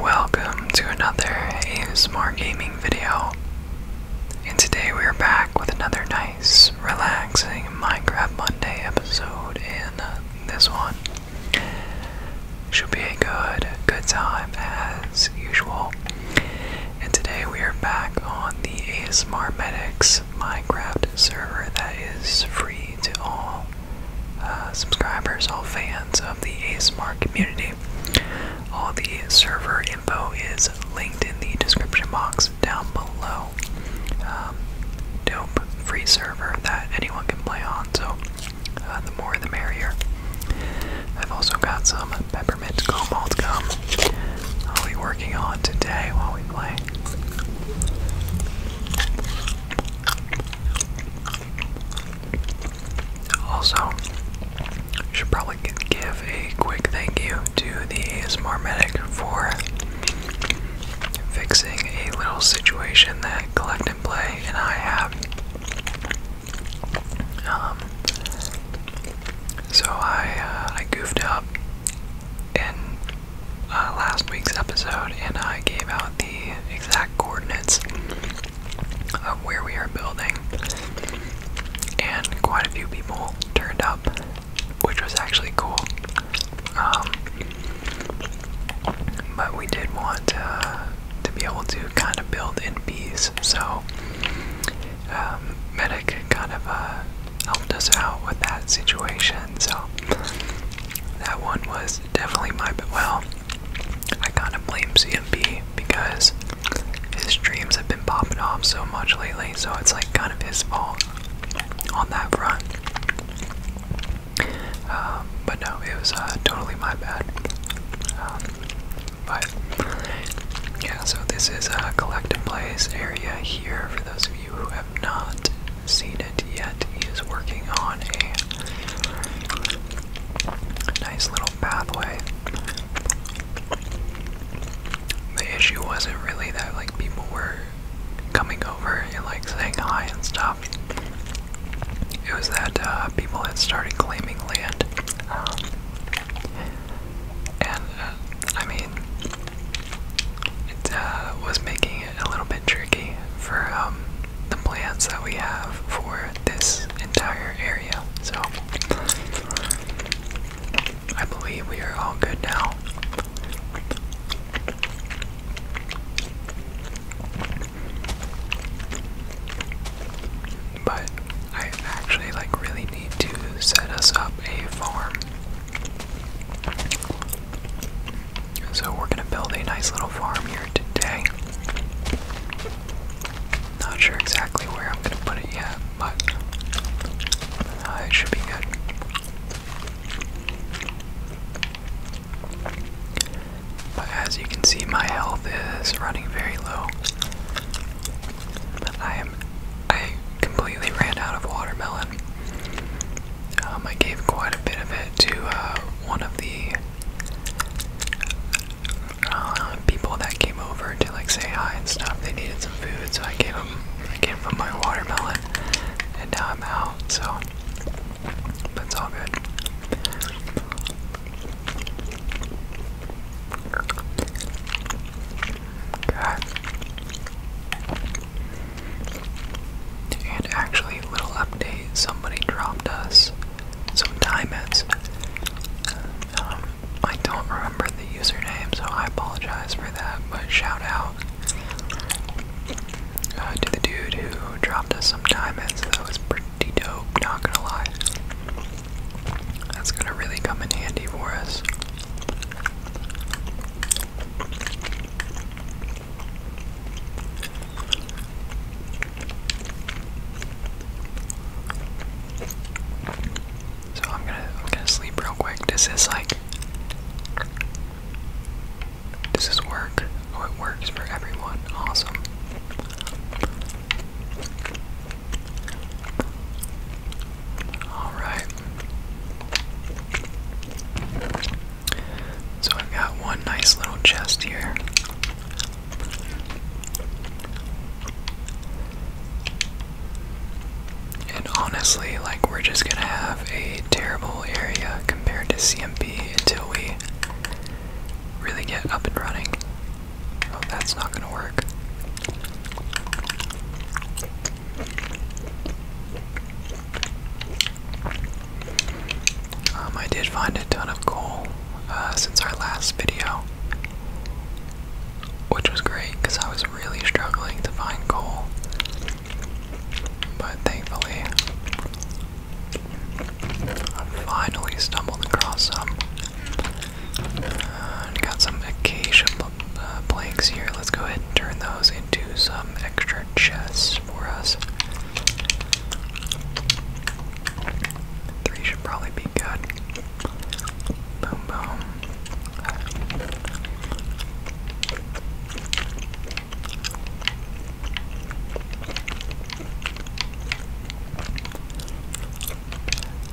Welcome to another ASMR gaming video. And today we are back with another nice, relaxing Minecraft Monday episode. In uh, this one should be a good, good time as usual. And today we are back on the ASMR Medics Minecraft server that is free to all. Uh, subscribers, all fans of the ASMR community. All the server info is linked in the description box down below. Um, dope free server that anyone can play on, so uh, the more the merrier. I've also got some peppermint cobalt gum I'll be working on today while we play. Also, should probably give a quick thank you to the ASMR Medic for fixing a little situation that Collect and Play and I have. Um, so I uh, I goofed up in uh, last week's episode, and I gave out the the exact coordinates of where we are building, and quite a few people turned up, which was actually cool. Um, but we did want to be able to kind of build in peace, so um, Medic kind of uh, helped us out with that situation. So that one was definitely my well. I kind of blame CMB because his streams have been popping off so much lately, so it's like kind of his fault on that front. Um, but no, it was uh, totally my bad. Um, but yeah, so this is a collective plays area here for those of you who have not seen completed yet. He is working on a nice little pathway. The issue wasn't really that like people were coming over and like saying hi and stuff. It was that uh, people had started claiming land. Um, and uh, I mean, it uh, was making it a little bit tricky for um, the plans that we have for this entire area. So I believe we are all good now. But I actually like really need to set us up a farm. So we're gonna build a nice little farm here today. Not sure exactly where I'm gonna put it yet, but uh, it should be good. But as you can see, my health is running very low. I am. I completely ran out of watermelon. Um, I gave quite a bit of it to uh, one of the uh, people that came over to like say hi and stuff. They needed some food, so I gave them I gave them my watermelon, and now I'm out. So that's all good. God. And actually, little update: somebody dropped us some Diamonds. Um, I don't remember the username, so I apologize for that. But shout out uh, to the dude who dropped us some diamonds. That was pretty dope. Not gonna lie. That's gonna really come in handy for us. So I'm gonna I'm gonna sleep real quick. Does this like does this work? Oh it works for everyone. Awesome. Alright. So I've got one nice little chest here. And honestly, like, we're just gonna have a terrible area compared to CMP until we really get up and running. Oh, that's not gonna work. Um, I did find a ton of coal uh, since our last video, which was great because I was really struggling to find coal. But thankfully, I finally stumbled across some. got some acacia uh, planks here. Let's go ahead and turn those into some extra chests for us. Three should probably be good. Boom, boom.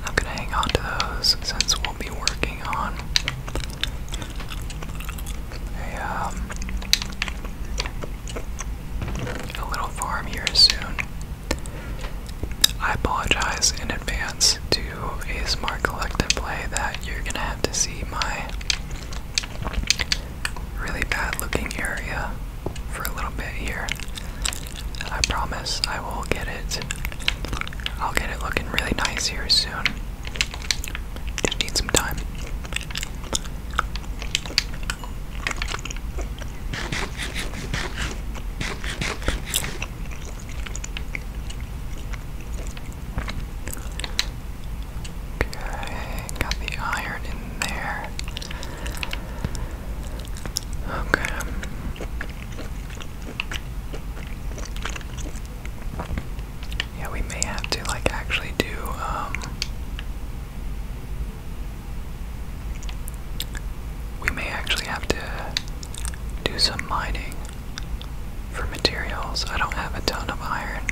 I'm gonna hang on to those since we'll be working on a um, a little farm here soon. I apologize in advance to a smart collective play that you're gonna have to see my really bad looking area for a little bit here. I promise I will get it. I'll get it looking really nice here soon. Just need some time. Okay, got the iron in there. Okay. Yeah, we may have to like actually do um, we may actually have to do some mining for materials. I don't have a ton of iron.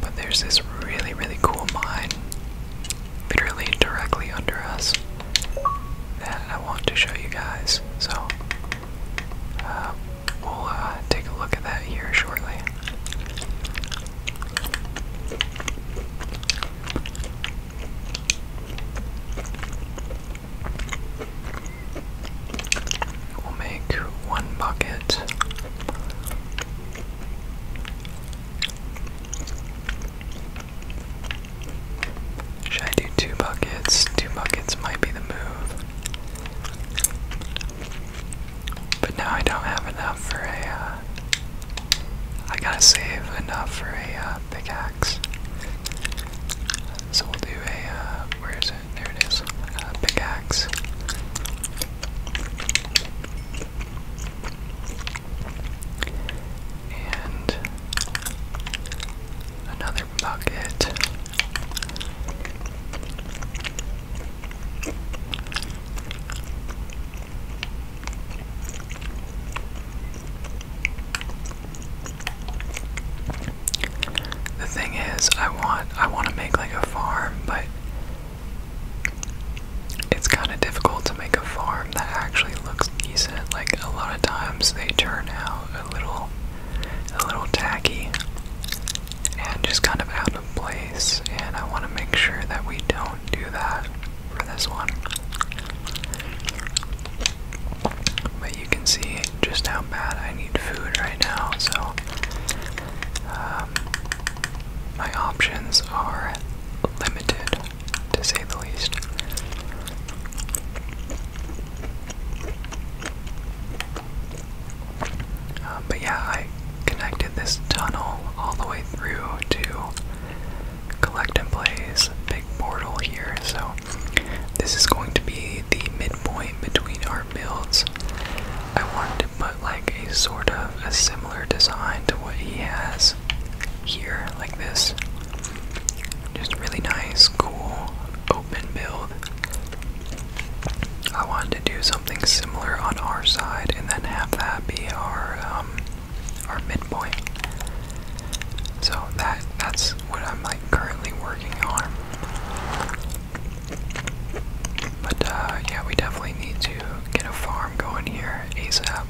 But there's this really, really cool mine literally directly under us that I want to show you guys. So uh, we'll uh, take a look at that here shortly. We'll make one bucket. Should I do two buckets? Two buckets might be the move. But now I don't have enough for a, uh, gotta save enough for a uh, pickaxe. So we'll do a, uh, where is it? There it is. pickaxe. And another bucket. The thing is, I want I want to make like a farm, but it's kind of difficult to make a farm that actually looks decent. Like a lot of times they turn out a little a little tacky and just kind of out place, and I want to make sure that we don't do that for this one. But you can see just how bad I need food right now, so um, my options are limited, to say the least. Um, but yeah, I connected this tunnel all the way through to Collect and Play's big portal here. So this is going to be the midpoint between our builds. I wanted to put like a sort of a similar design to what he has here, like this. Just really nice, cool, open build. I wanted to do something something similar on our side, and then have that be our um, our midpoint. So that that's what I'm like currently working on. But uh, yeah, we definitely need to get a farm going here ASAP.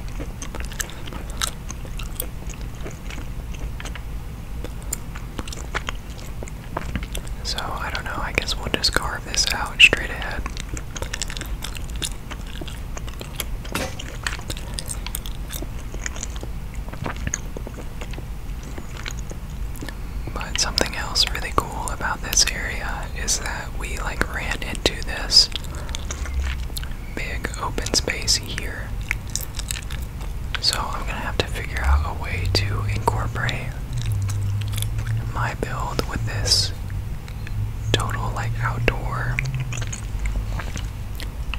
So I don't know. I guess we'll discard this out straight ahead. But something else really cool about this area is that we like ran into this big open space here. So I'm gonna have to figure out a way to incorporate my build with this total like outdoor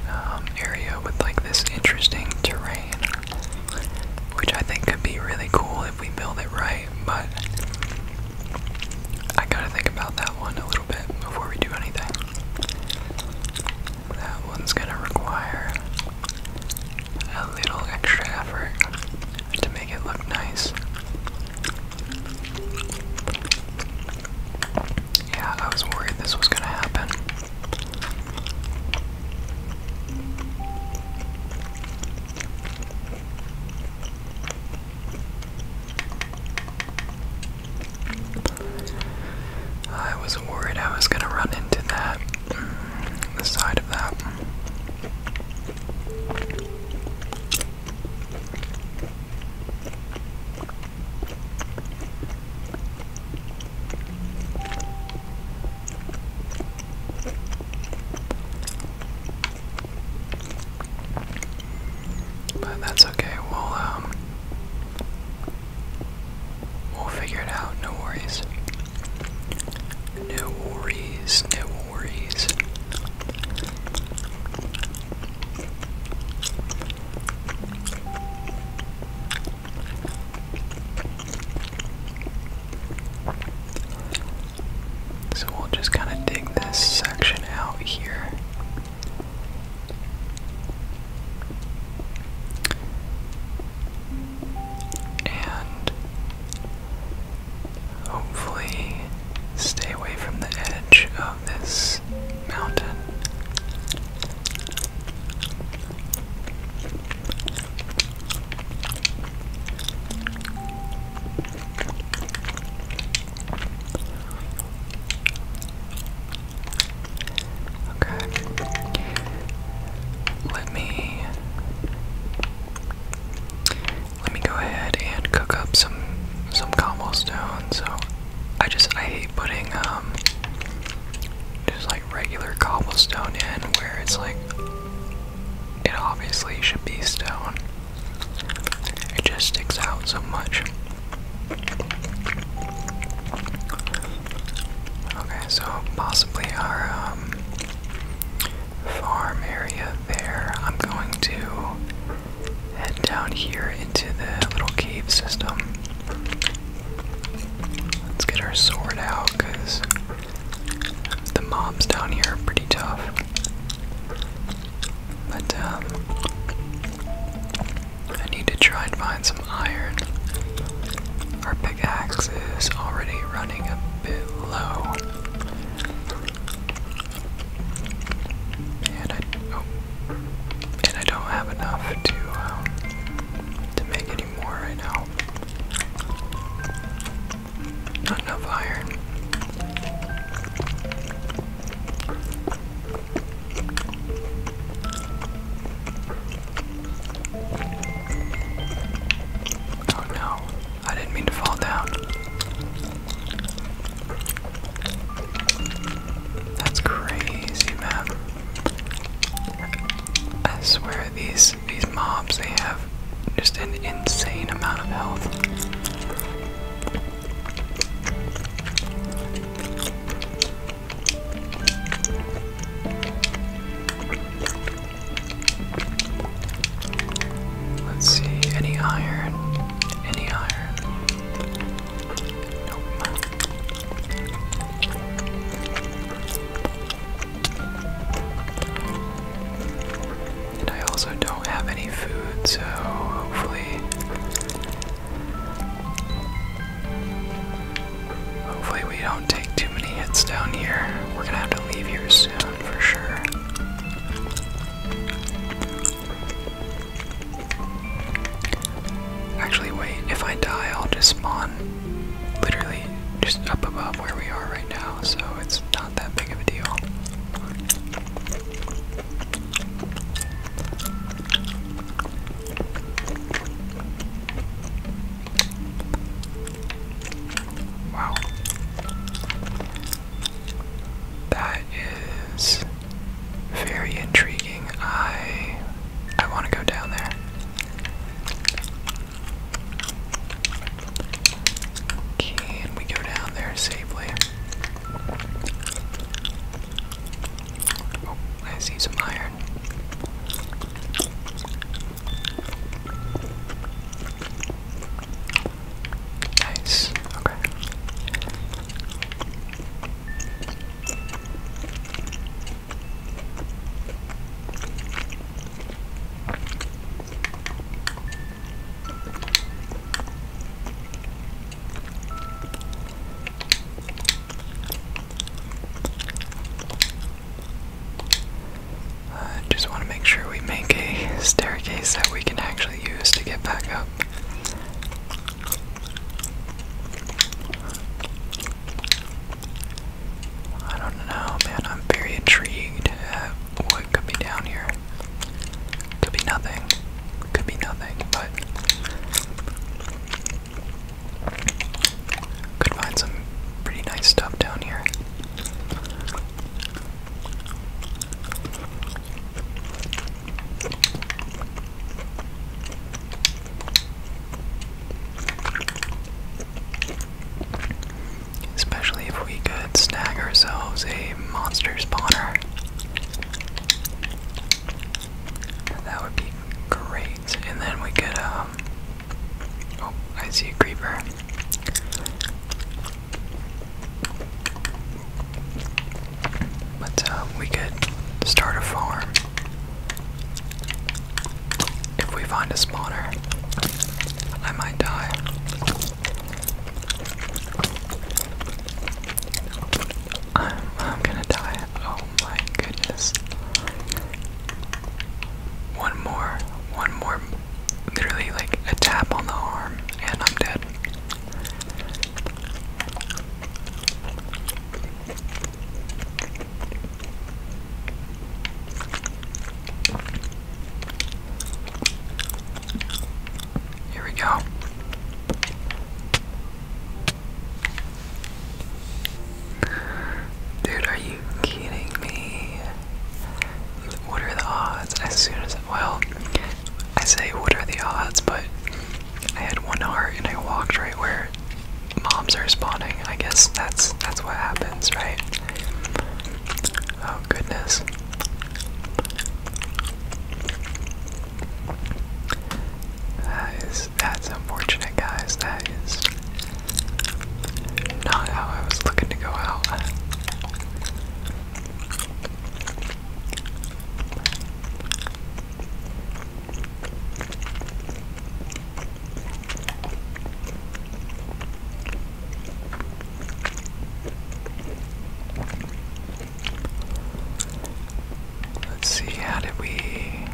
um, area with like this interesting terrain, which I think could be really cool if we build it right. But I gotta think about that one a little bit before we do anything. That one's gonna require a little extra effort to make it look nice. Yeah, I was worried this was gonna happen. I was worried I was gonna run into that, mm, side of that. But that's okay. We'll um we'll figure it out. No worries. No worries. No worries. So we'll just kind of dig this section out here. And Hopefully, stay away from the edge of this mountain. Okay. Let me let me go ahead and cook up some some cobblestone. So I just I hate putting um just like regular cobblestone in where it's like it obviously should be stone. It just sticks out so much. Okay, so possibly our um, farm area there. I'm going to head down here into the little cave system. Let's get our sword out because the mobs down here are pretty tough. But um, I need to try and find some iron. Our pickaxe is already running a bit low. And I oh. and I don't have enough to um, to make any right now. Not enough iron. Oh no, I didn't mean to fall down. That's crazy, man. I swear these these mobs they have just an insane amount of health. Let's see, any iron? Any iron? Nope. And I also don't have any food, so hopefully. Hopefully, we don't take too many hits down here. We're gonna have to leave here soon for sure. Actually, wait, if I die, I'll just spawn literally just up above where we are right now, so it's not that big of a deal. Wow. That is very intriguing. I I want to go down there. Can we go down there safely? Oh, I see some iron. Nice. Okay. I just want to make sure we make a staircase that we can actually to get back up. I don't know, man. I'm very intrigued at what could be down here. Could be nothing. Could be nothing, but could find some pretty nice stuff down here. Especially if we could snag ourselves a monster spawner. That would be great. And then we could, um. Oh, I see a creeper. But um, we could start a farm if we find a spawner. I might die. I'm gonna die. Oh my goodness. One more, one more, literally like a tap on the arm, and I'm dead. Here we go. Dude, are you kidding me? What are the odds? As soon well, I say, what are the odds? But I had one heart and I walked right where moms are spawning. I guess that's that's what happens, right? Oh goodness. That is that's unfortunate guys. That is not how I was looking to go out. Let's see, how did we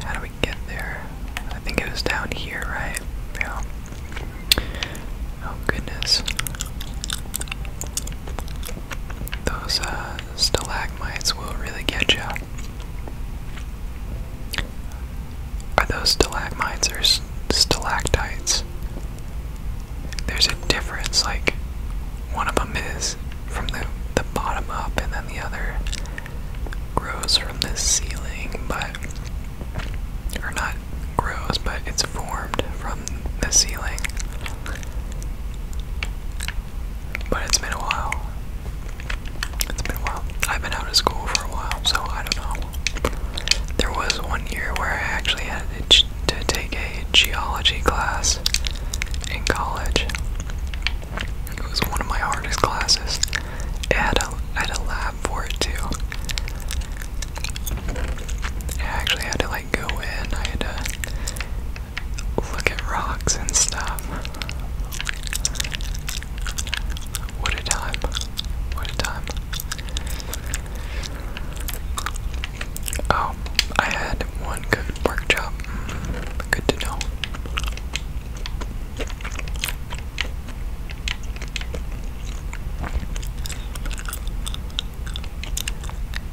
how did we get there? I think it was down here, right? Yeah. Oh goodness those uh, stalagmites will really get you. Are those stalagmites or stalactites? There's a difference, like, one of them is from the, the bottom up, and then the other grows from the ceiling, but. Or not grows, but it's formed from the ceiling. But it's been a while. It's been a while. I've been out of school for a while, so I don't know. There was one year where I actually had to take a geology class in college. It was one of my hardest classes. It had a, I had a lab for it too. I actually had to like go in, I had to look at rocks and stuff. What a time. What a time. Oh, I had one good workshop. Good to know.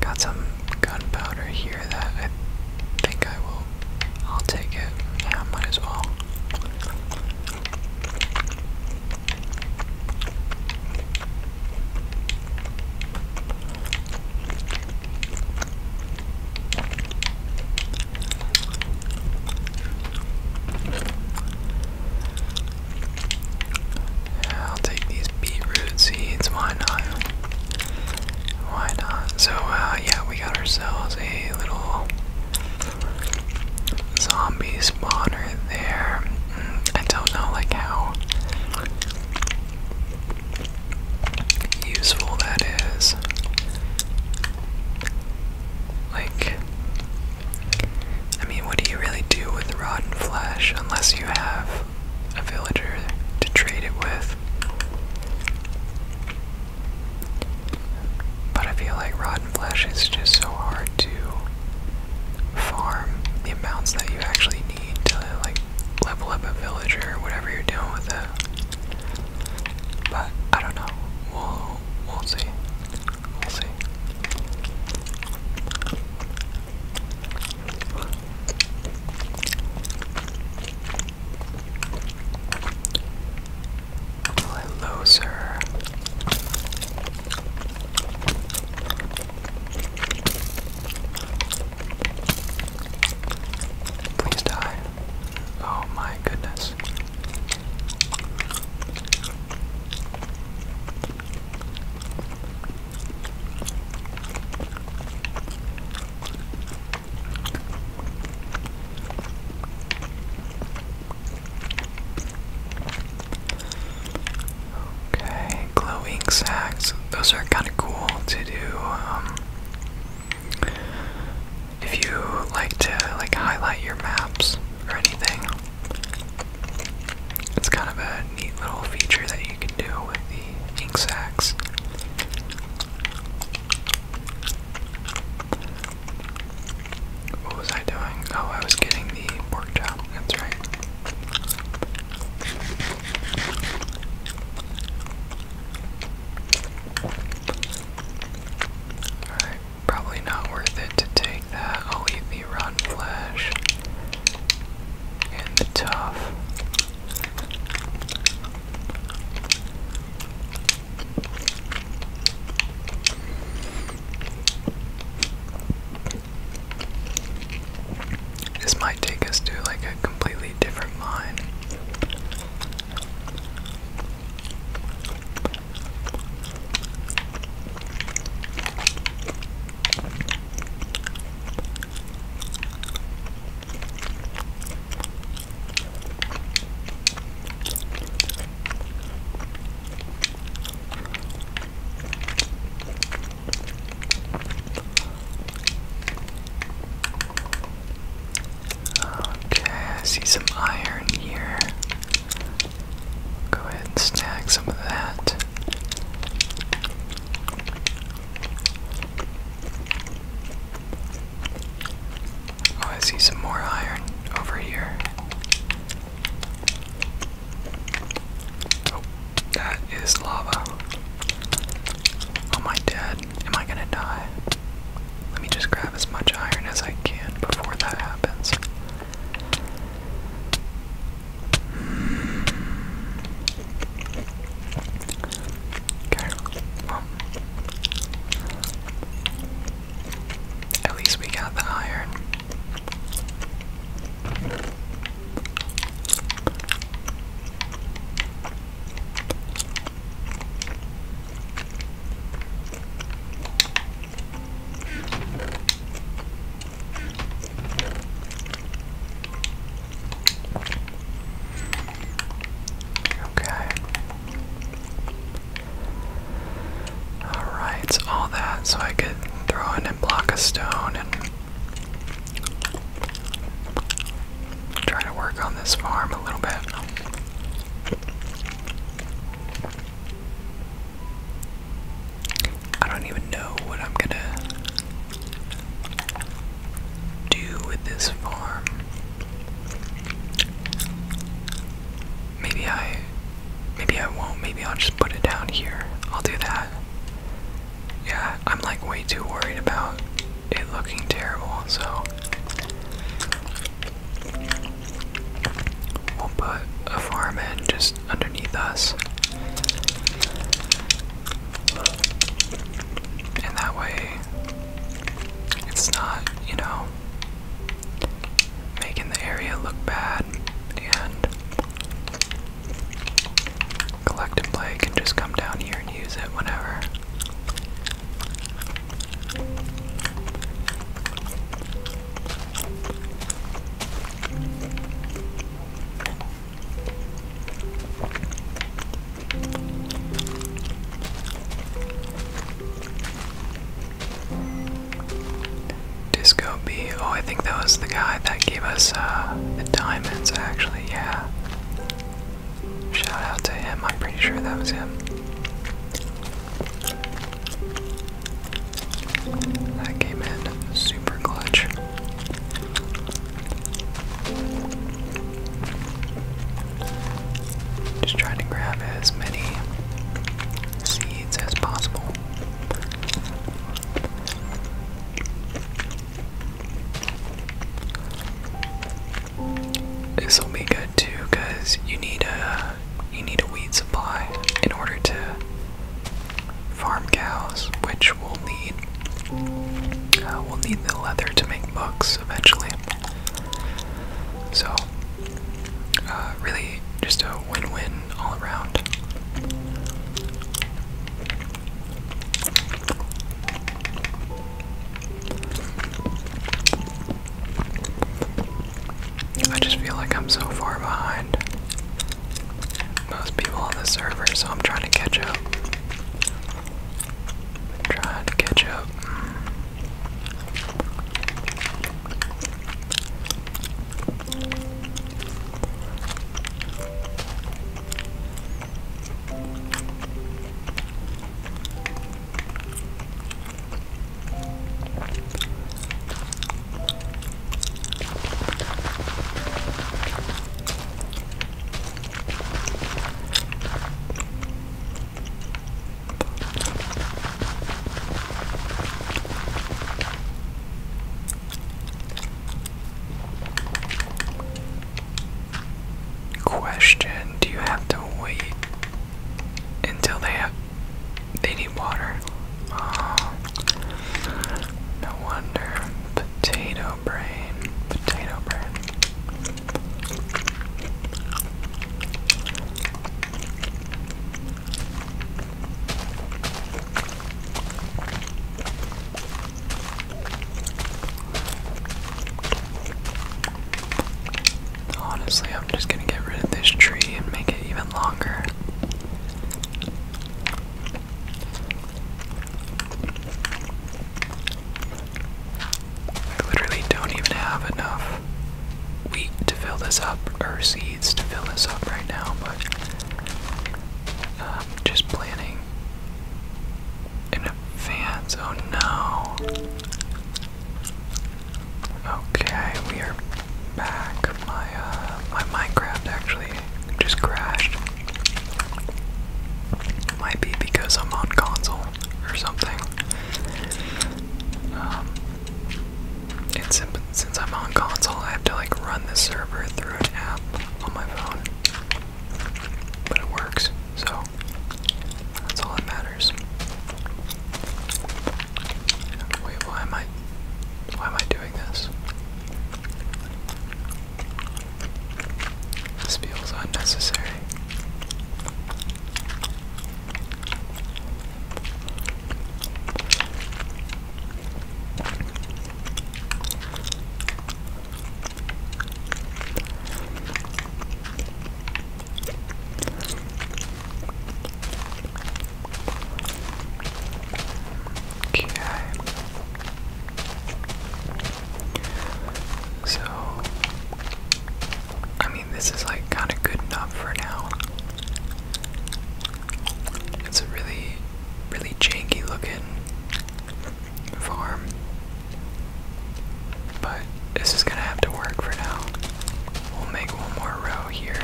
Got some gunpowder here that I think I will. I'll take it. Yeah, might as well. I'll take these beetroot seeds. Why not? Why not? So, uh, yeah, we got ourselves a little zombie spawner there. Mm, I don't know, like, how useful that is. Like, I mean, what do you really do with rotten flesh unless you have a villager to trade it with. But I feel like Rotten Flesh is just so hard to farm the amounts that you actually need to like level up a villager or whatever you're doing with it. But I don't know. We'll we'll see. We'll see. Well, Please die. Oh my goodness. Okay, glowing sacks. Those are kind of cool to do. Um, if you like to like highlight your maps or anything, it's kind of a neat little feature that you can do with ink sacs. What was I doing? Oh, I was getting the pork That's right. Alright, probably not worth it to take that. I'll eat the rotten flesh and the tough. This might take us to like a completely different line. Okay, I see some iron here. Go ahead and snag some of that. Oh, I see some more iron over here. Oh, that is lava. Am I dead? Am I gonna die? Let me just grab as much iron as I can before that happens. Okay, At least we got the iron. Okay. Alright, so all that, so I could throw in and block a stone and try to work on this farm a little bit. I don't even know what I'm gonna do with this farm. Maybe I maybe I won't. Maybe I'll just put it down here. I'll do that. Yeah, I'm like way too worried about it looking terrible, so we'll put a farm in just underneath us. And that way, it's not, you know, making the area look bad and collect and play can just come down here and use it whenever. Disco B. Oh, I think that was the guy that gave us uh, the diamonds, actually, yeah. Shout out to him, I'm pretty sure that was him. That came in super clutch. Just try to grab as many seeds as possible. This will be good too, cause you need a you need a weed supply in order to farm cows, which will need. Uh, will need the leather to make books eventually. So, uh, really, just a win-win all around. I just feel like I'm so far behind most people on the server, so I'm trying to catch up. trying to catch up. Question, do you have to wait until they have they need water? Oh, no wonder. Potato Honestly, I'm just gonna get rid of this tree and make it even longer. I literally don't even have enough wheat to fill this up, or seeds to fill this up right now, but um, just planning in advance. Oh no. Okay, we are back. My uh, my Minecraft actually just crashed. Might be because I'm on console or something. Um, and since I'm on console, I have to like run the server through an app on my phone. But it works, so that's all that matters. Wait, why am I why am I doing this? This feels unnecessary. Okay. So, I mean, this is like kind of good enough for now. It's a really, really janky looking farm, but this is gonna have to work for now. We'll make one more row here.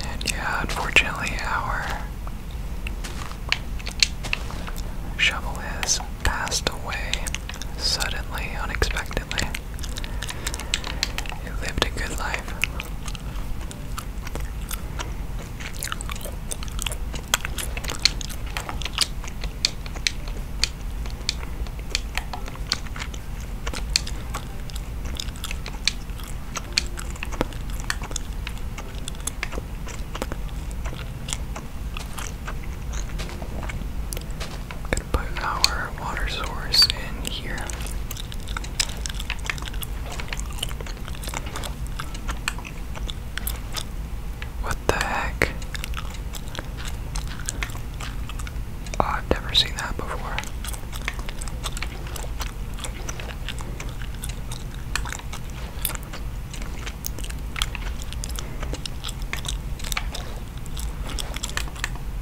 And yeah, unfortunately, our shovel has passed away suddenly, unexpectedly. It lived a good life. I'm gonna put our water source in here. What the heck? Oh, I've never seen that before.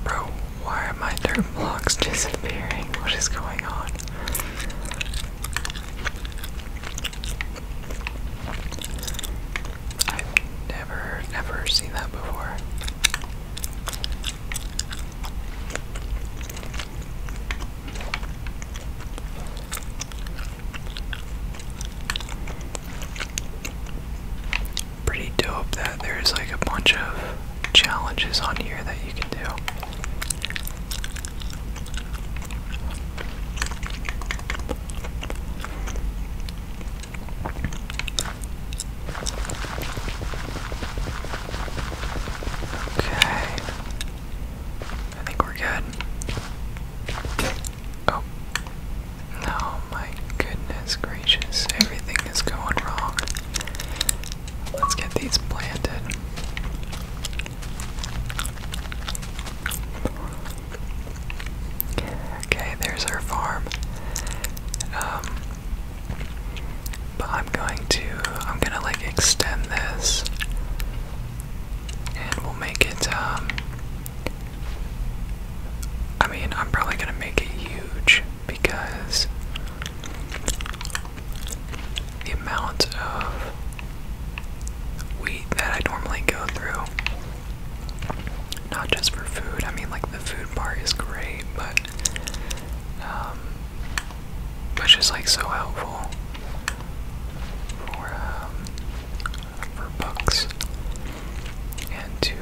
Bro, why are my dirt blocks disappearing? What is going on? I've never, never seen that before. Pretty dope that there's like a bunch of challenges on here that you can do. Okay, I think we're good. Oh. No, my goodness gracious. Everything is going wrong. Let's get these planted. Okay, there's our farm. Um, but I'm going to, I'm gonna like extend this, and we'll make it. Um, I mean, I'm probably gonna make it huge because the amount of wheat that I normally go through. Not just for food, I mean, like the food bar is great, but um, it's just like so helpful for um, for books and to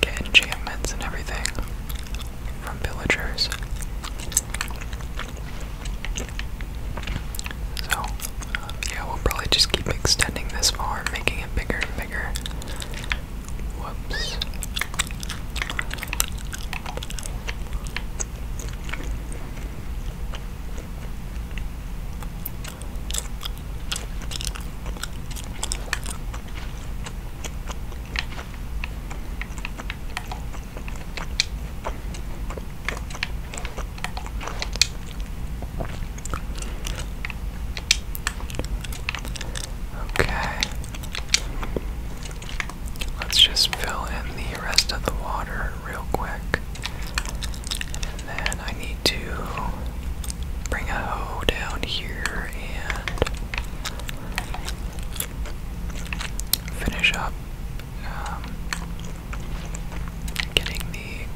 get enchantments and everything from villagers. So, yeah, we'll probably just keep extending this farm, making it bigger and bigger. Whoops. Okay. Let's just fill in the rest of the water real quick. And then I need to bring a hoe down here and finish up um, getting the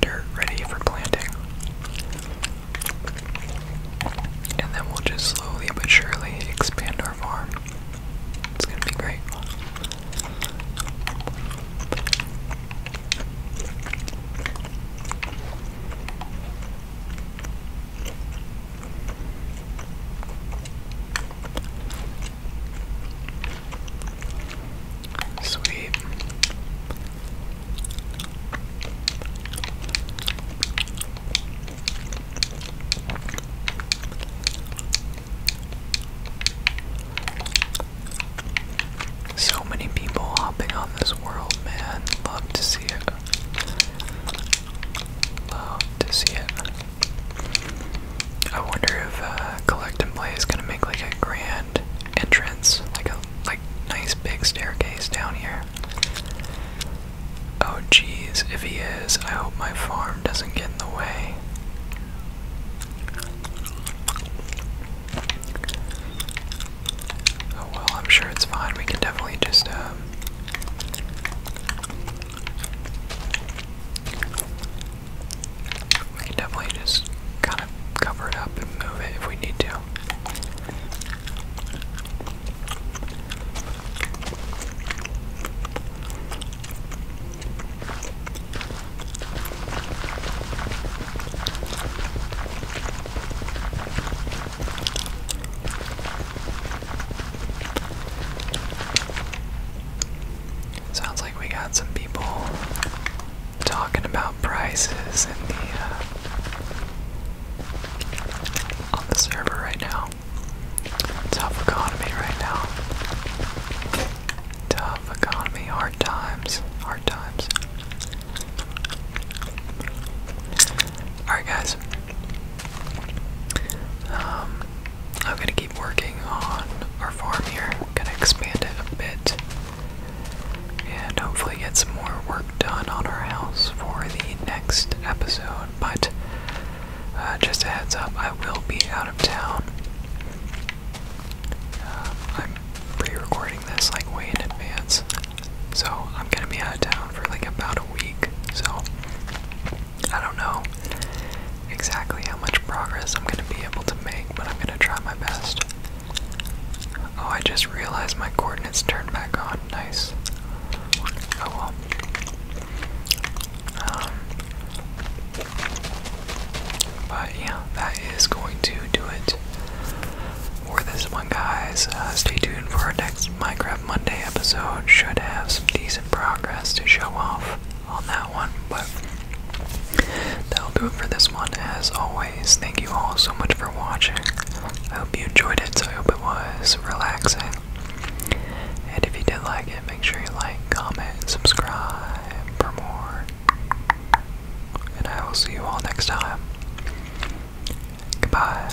dirt ready for planting. And then we'll just slowly but surely expand our farm. It's going to be great. Sweet. So many people hopping on this world, man. Love to see it. Love to see it. I wonder if uh, collect and play is gonna make like a grand entrance, like a like nice big staircase down here. Oh geez, if he is, I hope my farm doesn't get in the way. Oh well, I'm sure it's fine. We can definitely just um, we can definitely just kind of cover it up and move it if we need to. Sounds like we got some people talking about prices in the uh, on the server right now. Tough economy right now. Tough economy, hard times, hard times. Alright, guys, um, I'm gonna keep working on our farm here. I'm gonna expand it a bit, and hopefully get some more work done on our house for the next episode. But uh, just a heads up, I will be out of town. Uh, I'm pre-recording this like way in advance, so I'm gonna be out of town for like about a week. So I don't know exactly how much progress I'm going to be able to make, but I'm going to try my best. Oh, I just realized my coordinates turned back on. Nice. Oh well. Um, but yeah, that is going to do it for this one, guys. Uh, stay tuned for our next Minecraft of Monday episode should have some decent progress to show off on that one, but that'll do it for this one. As always, thank you all so much for watching. I hope you enjoyed it, so I hope it was relaxing. And if you did like it, make sure you like, comment, and subscribe for more. And I will see you all next time. Goodbye.